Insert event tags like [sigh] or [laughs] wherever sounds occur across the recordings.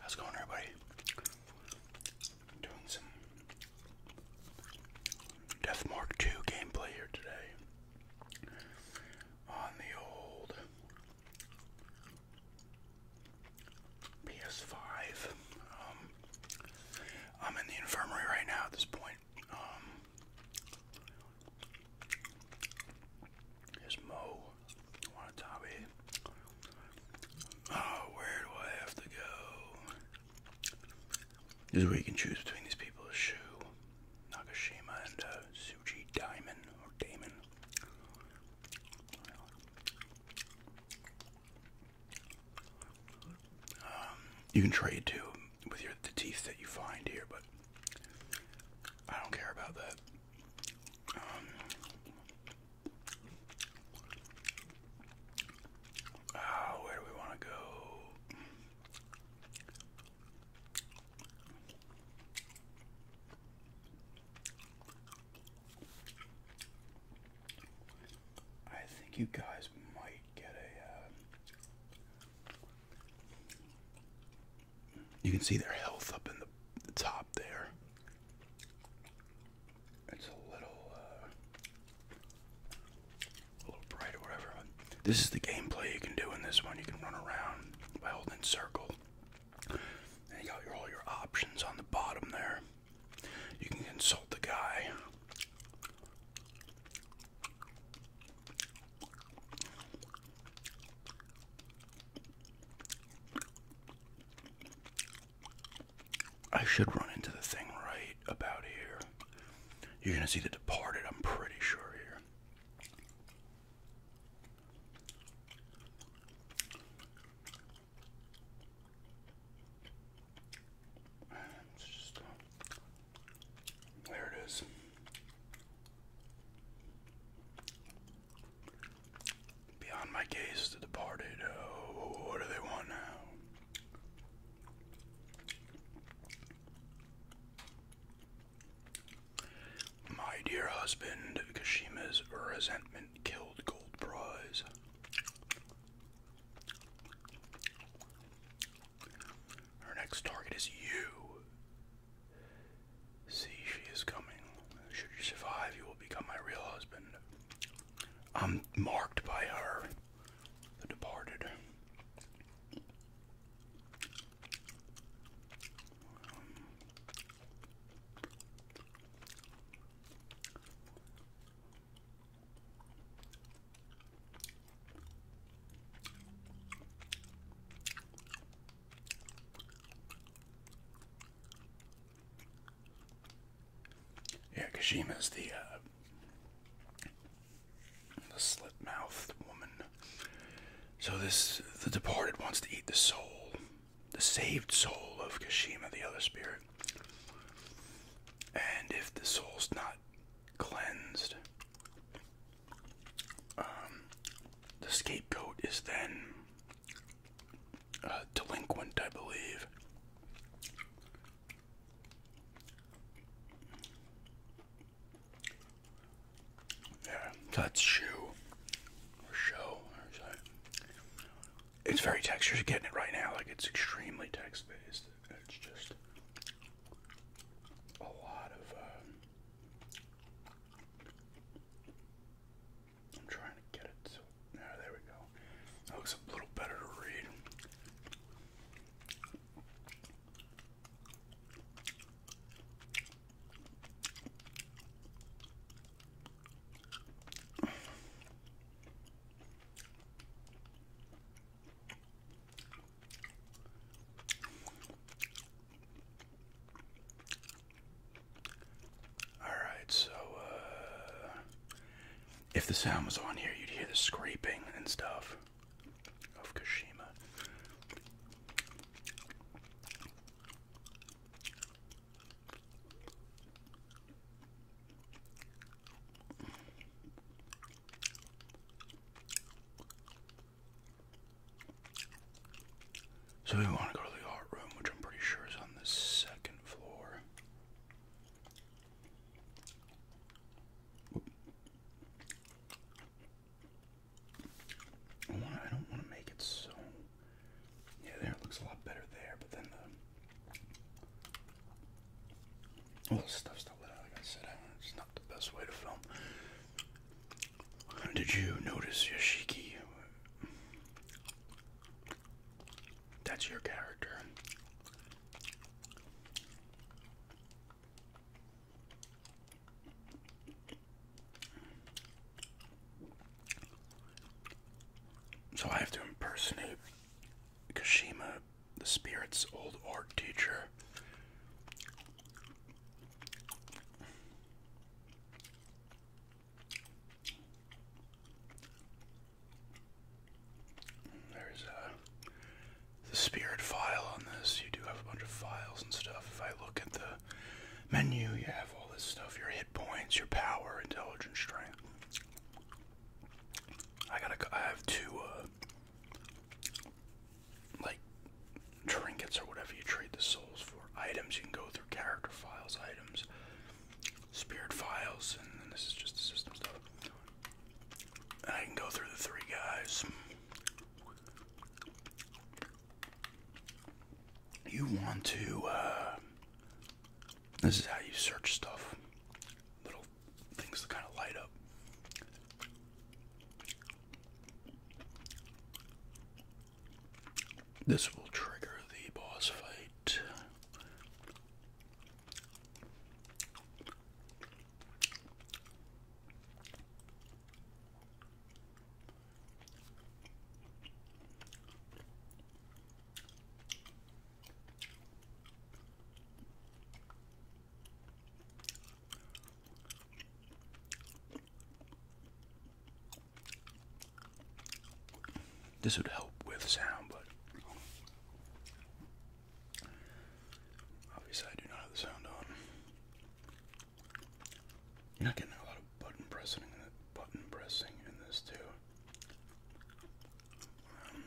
How's it going, everybody? Doing some Death Mark gameplay here today on the old PS5. Um, I'm in the infirmary right now at this point. Um, there's Mo on the top Oh, where do I have to go? This is where you can choose between these people. Shu, Nagashima, and uh, Suji Diamond, or Damon. Um, you can trade too with your the teeth that you find here, but I don't care about that. Um, ah, where do we want to go? I think you guys might get a. Uh, you can see their health up in the, top there. It's a little, uh, a little bright or whatever. This is the gameplay you can do in this one. You can run around by holding circle, and you got all your options on the bottom there. You can consult the guy. I should run into the thing right about here. You're gonna see the departed, I'm pretty sure here. There it is. Beyond my gaze, departed. what do they want now? My dear husband, Kashima's resentment killed Gold Prize. Her next target is you. See, she is coming. Should you survive, you will become my real husband. I'm marked by her, the departed. Yeah, Kashima's the uh, the slit mouthed woman. So this the departed wants to eat the soul, the saved soul of Kashima, the other spirit. And if the soul's not cleansed, um, the scapegoat is then uh, delinquent, I believe. Yeah, that's shoe or show. Or it's very textured. Getting it right now, like it's extremely text based. It's just a lot of uh, I'm trying to get it so there we go. That looks a little better to read. Alright, so uh, if the sound was on here, you'd hear the scraping and stuff of Kashima. So we want to go to the art room, which I'm pretty sure is on the second floor. I, don't want to make it so. Yeah, there it looks a lot better there, but then the. All the stuff's still lit out, like I said. It's not the best way to film. Did you notice Yashiki? That's your character. So I have to impersonate Kashima, the spirit's old art teacher, there's uh, the spirit file on this. You do have a bunch of files and stuff. If I look at the menu, you have all this stuff your hit points, your power, intelligence, strength. I got I have two uh, like trinkets or whatever you trade the souls for. Items you can go through character files, items, spirit files, and then this is just the system stuff. I can go through the three guys. You want to, uh, this is how you search stuff. Little things to kind of light up. This will trigger the boss fight. This would help with sound, but obviously I do not have the sound on. You're not getting a lot of button pressing in button pressing in this too. Um,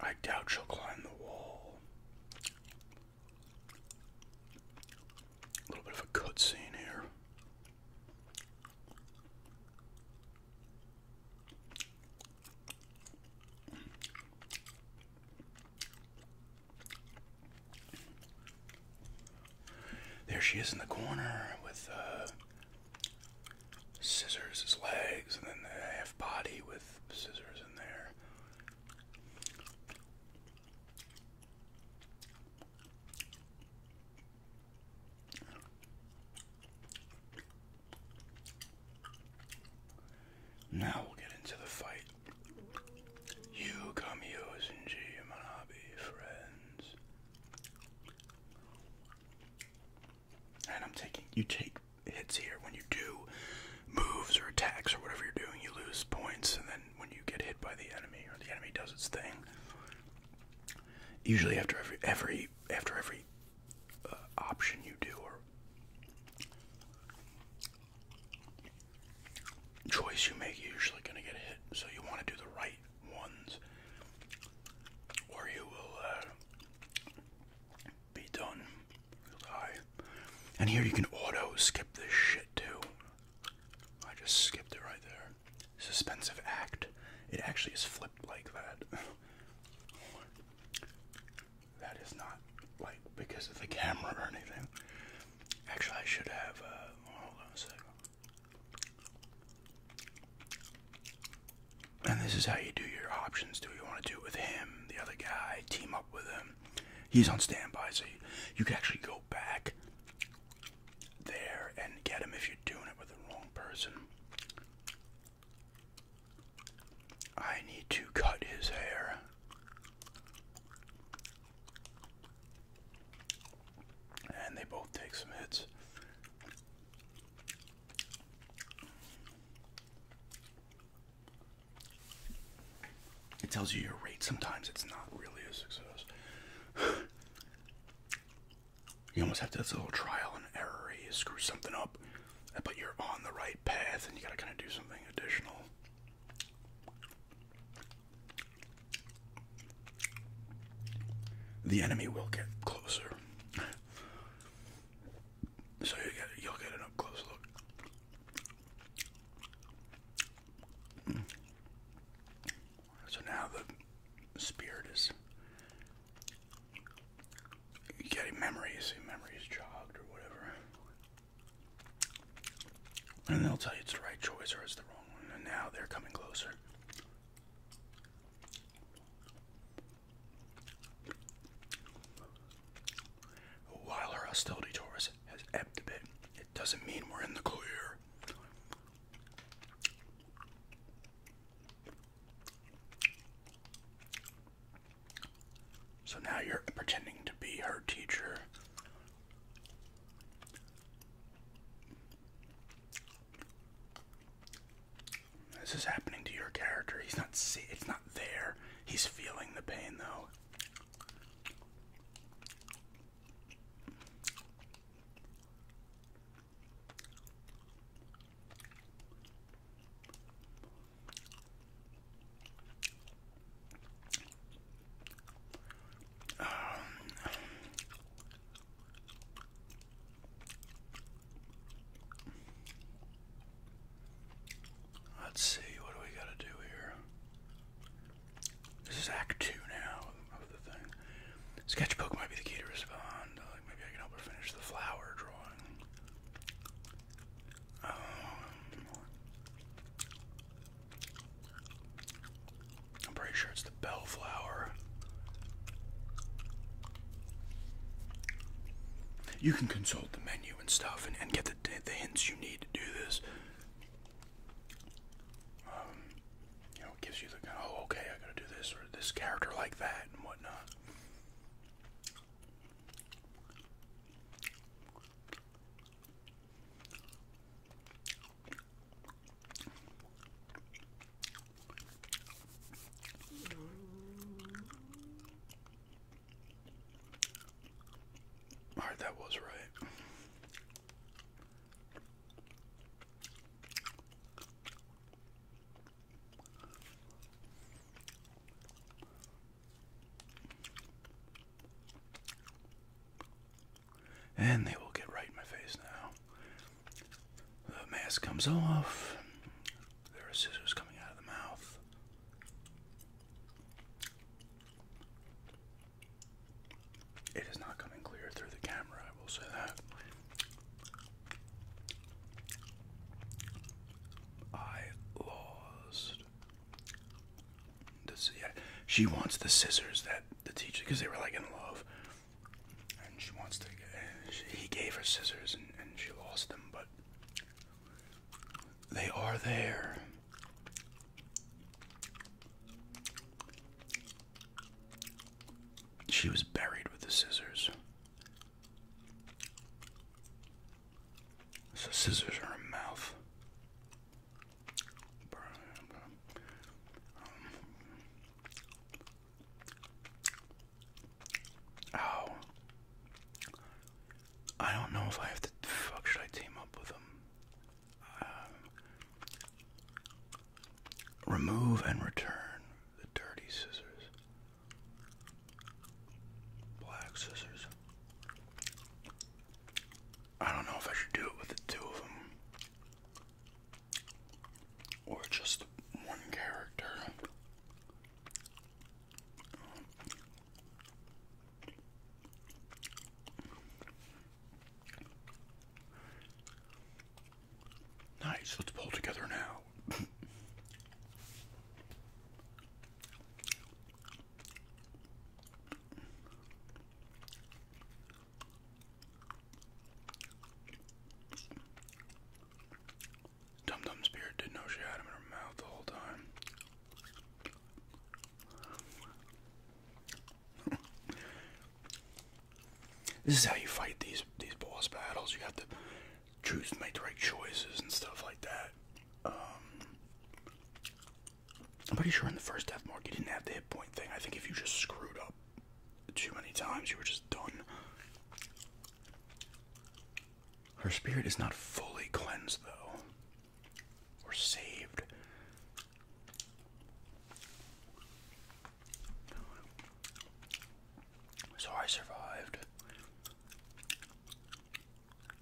I doubt she'll climb the wall. A little bit of a cutscene here. There she is in the corner with uh, scissors his legs and then the half body with scissors in there. Now we'll get into the fight. You come, yours and friends. And I'm taking you take hits here. When you do moves or attacks or whatever you're doing, you lose points. And then when you get hit by the enemy or the enemy does its thing, usually after every every after every uh, option you do or choice you make, you're usually gonna get hit. So you want to do the right ones, or you will uh, be done. You'll And here you can auto skip this shit too. I just skipped it right there. Suspensive act. It actually is flipped like that. that is not like because of the camera or anything. Actually, I should have. Uh, hold on a second. And this is how you do your options. Do you want to do it with him, the other guy, team up with him? He's on standby, so you, you can actually go back there and get him if you're doing it with the wrong person. I need to cut his hair. And they both take some hits. It tells you your rate. Sometimes it's not really a success. you almost have to, do a little trial and error. You screw something up, but you're on the right path and you gotta kind of do something additional. The enemy will get closer. So you get you'll get an up close look. So now the spirit is getting memories, memories jogged or whatever. And they'll tell you it's the right choice or it's the wrong one. And now they're coming closer. While our hostility towards has ebbed a bit, it doesn't mean we're in the clear. So now you're pretending to be her teacher. This is happening to your character. He's not see it's not there. He's feeling the pain though. Um, Let's see, what do we got to do here? This is Act 2 now of the thing. Sketchbook might be the key to respond. Uh, maybe I can help her finish the flower drawing. Um, I'm pretty sure it's bellflower. You can consult the menu and stuff and, get the, hints you need to do this. Um, you know, gives you the kind of, oh, okay, I gotta do this, or this character like that, and whatnot. All right, that was right. And they will get right in my face now. The mask comes off. There are scissors coming out of the mouth. It is not coming clear through the camera, I will say that. I lost. she wants the scissors that the teacher, because they were like in love and she wants to. he gave her scissors, and, she lost them, but they are there. She was buried with the scissors. So scissors are in her mouth. Um, Oh. I don't know if I have to. Fuck, should I team up with them? Um, remove and return the dirty scissors. Black scissors. I don't know if I should do it with the two of them or just one character. Nice, let's pull together now. Dum Dum's beard didn't know she had him in her mouth the whole time. [laughs] this is how you fight these these boss battles. You have to choose make the right choices and stuff like that. Um, I'm pretty sure in the first death mark you didn't have the hit point thing. I think if you just screwed up too many times, you were just done. Her spirit is not fully cleansed, though, or saved. So I survived.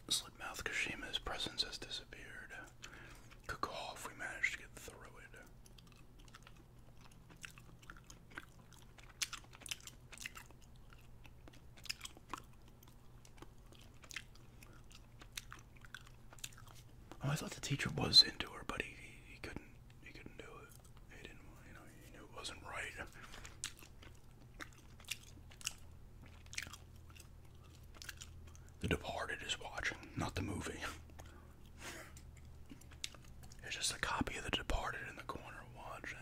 Slipmouth Kashima's presence has disappeared. Kakov, we managed to get through it. Oh, I thought the teacher was into her, but he, he, couldn't he couldn't do it. He didn't you know he knew it wasn't right. The Departed is watching, not the movie. There's just a copy of The Departed in the corner watching.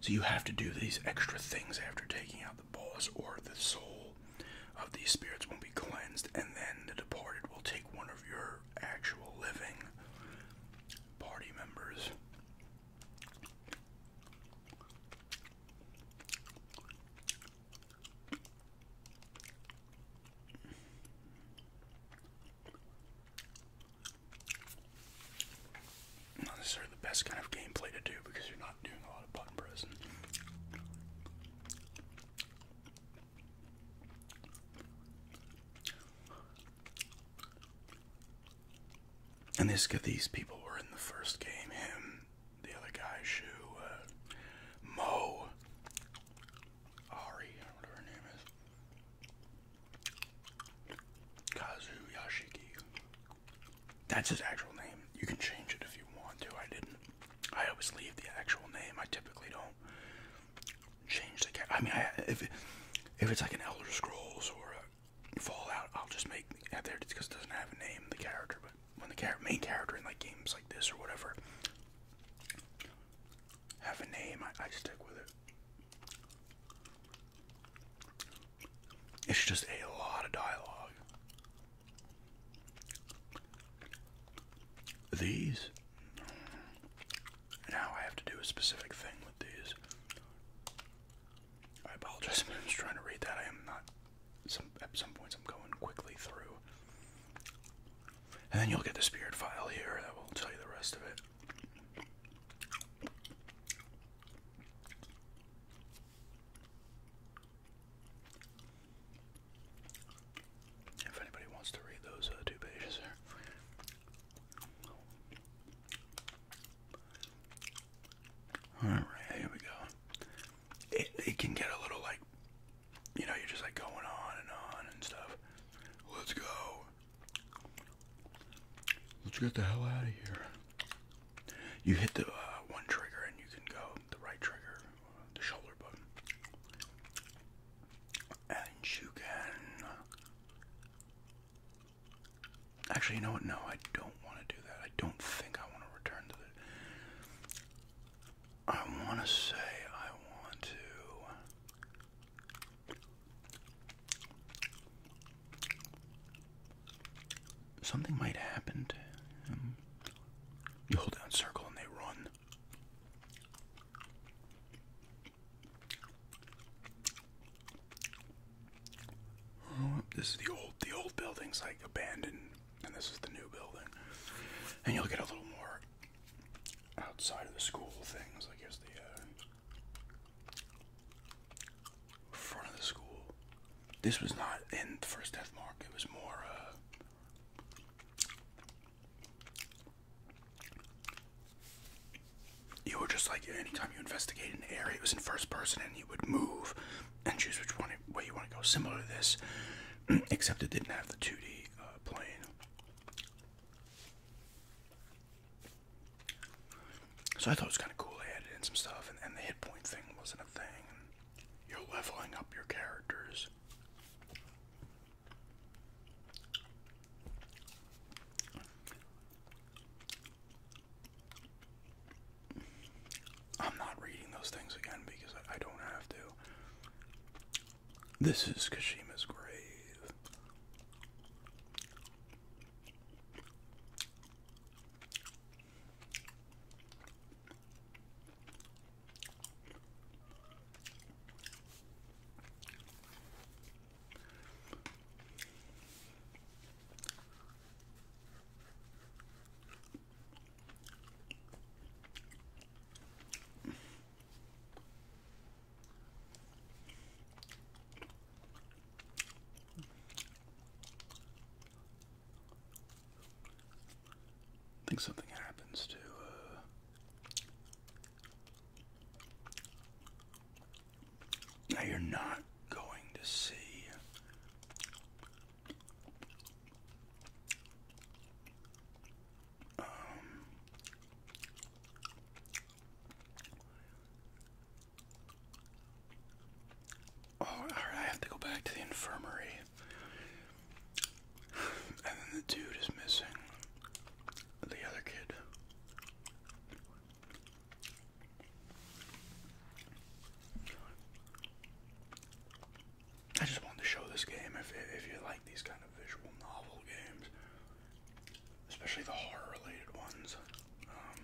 So you have to do these extra things after taking out the balls, or the soul of these spirits won't be cleansed, and then the departed will take one of your actual living party members not necessarily the best kind of gameplay to do because you're not doing a lot of button pressing. And this, these people were in the first game. Him, the other guy, Shu, uh, Mo, Ari, whatever her name is, Kazu Yashiki. That's his actual name. You can change it if you want to. I didn't. I always leave the actual name. I typically don't change the. I mean, if if it's like an Elder Scrolls or Fallout, I'll just make out there because it doesn't have a name, the character. But when the main character in like games like this or whatever have a name, I stick with it. It's just a lot of dialogue. These now I have to do a specific thing with these. I apologize I'm just trying to read that. I am not. Some at some points I'm going quickly through. And then you'll get the spirit file here that will tell you the rest of it. If anybody wants to read those uh, two pages here, all right, here we go. It, can get a little like, you know, you're just like going on and on and stuff. Let's go. Let's get the hell out of here. You hit the uh, one trigger and you can go the right trigger, uh, the shoulder button. And you can Actually, you know what? No, I don't want to do that. I don't think I want to return to it. I want to say I want to. Something might happen to him. You hold down circle and they run. Oh, this is the old the old building's like abandoned and this is the new building. And you'll get a little more outside of the school things. I guess the uh, front of the school. This was not in the first death mark. It was more uh, you were just like anytime you investigated an area, it was in first person, and you would move and choose which one way you want to go. Similar to this, [clears throat] except it didn't have the 2D uh, plane. So I thought it was kind of cool. They added in some stuff, and, and the hit point thing wasn't a thing. You're leveling up your characters. I'm not reading those things again because I don't have to. This is Kashima's grave. I think something happens to uh, now you're not going to see um, Oh, I have to go back to the infirmary. And then the dude is missing. The other kid. I just wanted to show this game if, if you like these kind of visual novel games, especially the horror related ones. Um,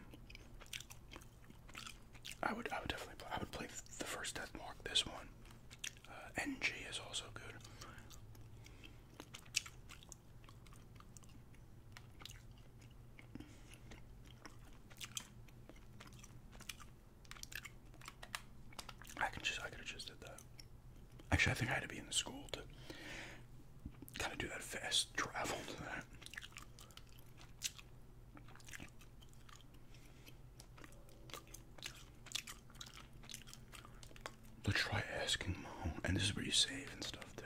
I would I would definitely play, I would play the first Death Mark. This one, uh, NG is also good. I can just I could have just did that. Actually, I think I had to be in the school to kind of do that fast travel to that. Let's try asking mom. And this is where you save and stuff too.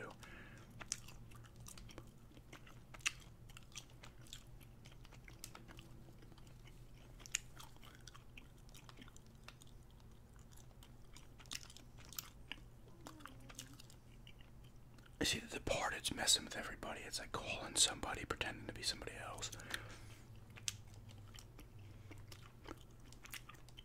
I see the part it's messing with everybody. It's like calling somebody, pretending to be somebody else.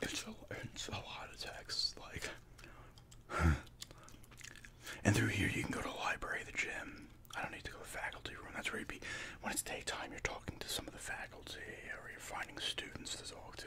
It's a, it's a lot of texts, like, [laughs] and through here you can go to the library, the gym. I don't need to go to the faculty room. That's where you'd be. When it's daytime, you're talking to some of the faculty, or you're finding students to talk to.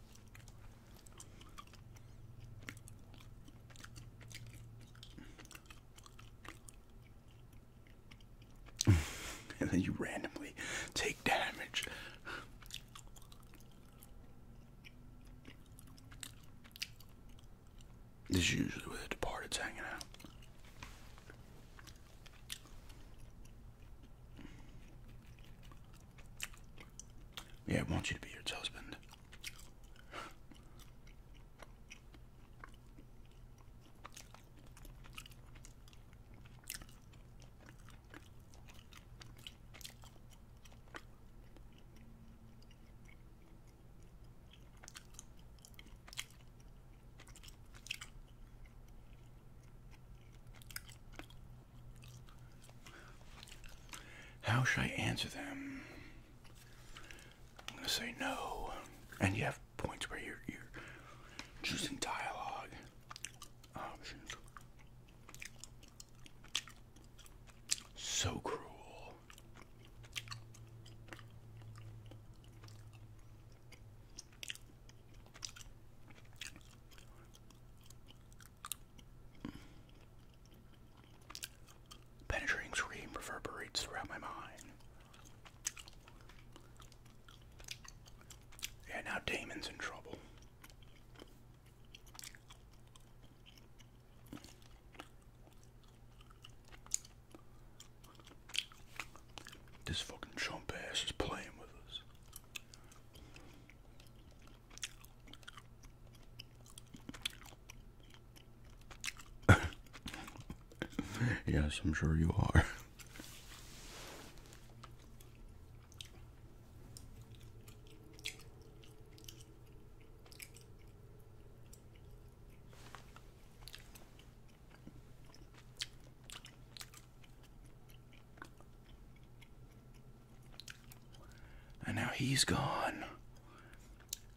[laughs] and then you randomly take damage. This is usually where the departed's hanging out. Yeah, I want you to be your husband. How should I answer them? I'm going to say no. And you have points where you're, choosing dialogue options. So cruel. Penetrating scream reverberates throughout my mind. Yeah, now Damon's in trouble. This fucking chump ass is playing with us. [laughs] yes, I'm sure you are. And now he's gone.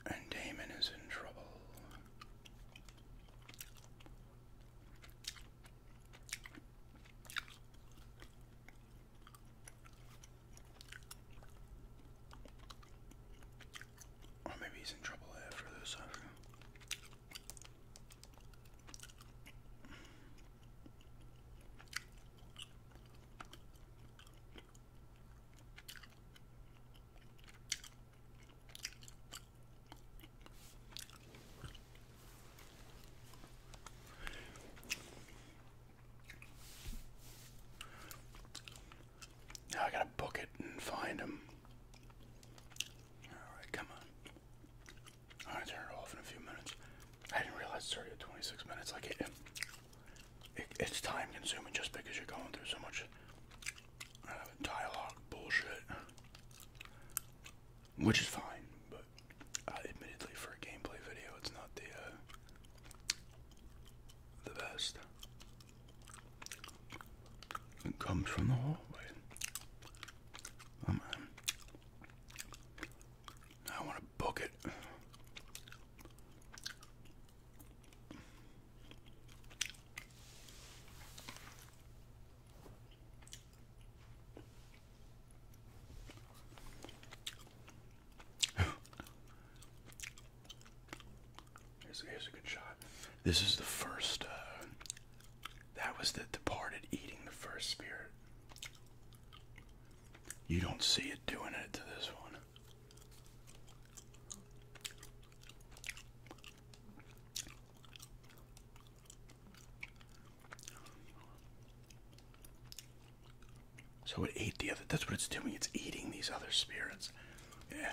And Damon is in trouble. Or maybe he's in trouble after this. Now I gotta book it and find him. Alright, come on i turn it off in a few minutes. I didn't realize it's started 26 minutes. Like it's time consuming just because you're going through so much uh, dialogue bullshit, which is fine. But uh, admittedly, for a gameplay video, it's not the uh, the best. It comes from the hallway. Um, I want to book it. [sighs] here's, a good shot. This is the first uh, that was the departed eating the first spirit. You don't see it doing it to this one. So it ate the other. That's what it's doing. It's eating these other spirits. Yeah.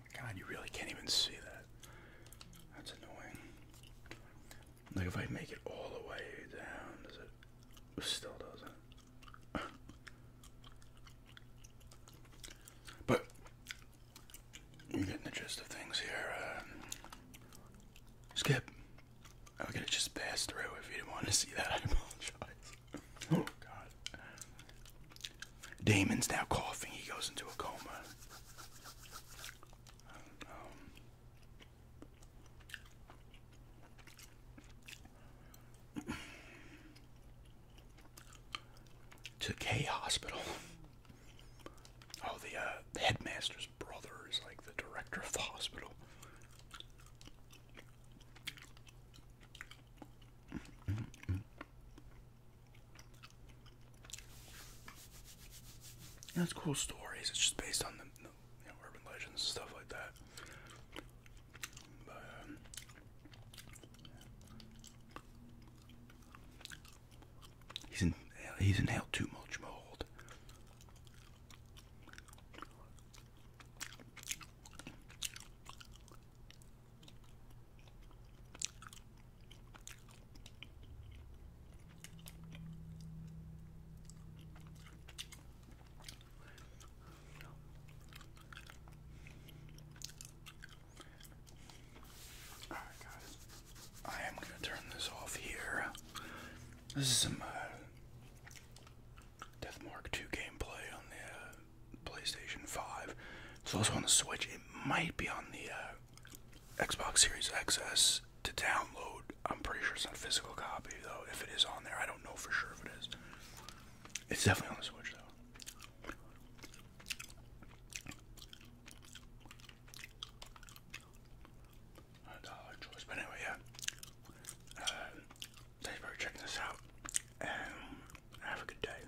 God, you really can't even see that. That's annoying. Like if I make it all the way down, does it? it still doesn't. but you're getting the gist of things here. Uh, skip. I am gonna just passed through if you do not want to see that. [laughs] I apologize. oh God. Damon's now coughing. He goes into a coma. Um, to K Hospital. Oh, uh, the, headmaster's brother is like the director of the hospital. That's cool stories. It's just based on the, urban legends stuff like that. Um, he's in, he's inhaled too much mold. I am gonna turn this off here. This is some Deathmark uh, Death Mark Two gameplay on the uh, PlayStation Five. It's also on the Switch. It might be on the uh, Xbox Series XS to download. I'm pretty sure it's not a physical copy though. If it is on there, I don't know for sure if it is. It's definitely on the Switch though. anyway, yeah. Uh, thanks for checking this out, and have a good day.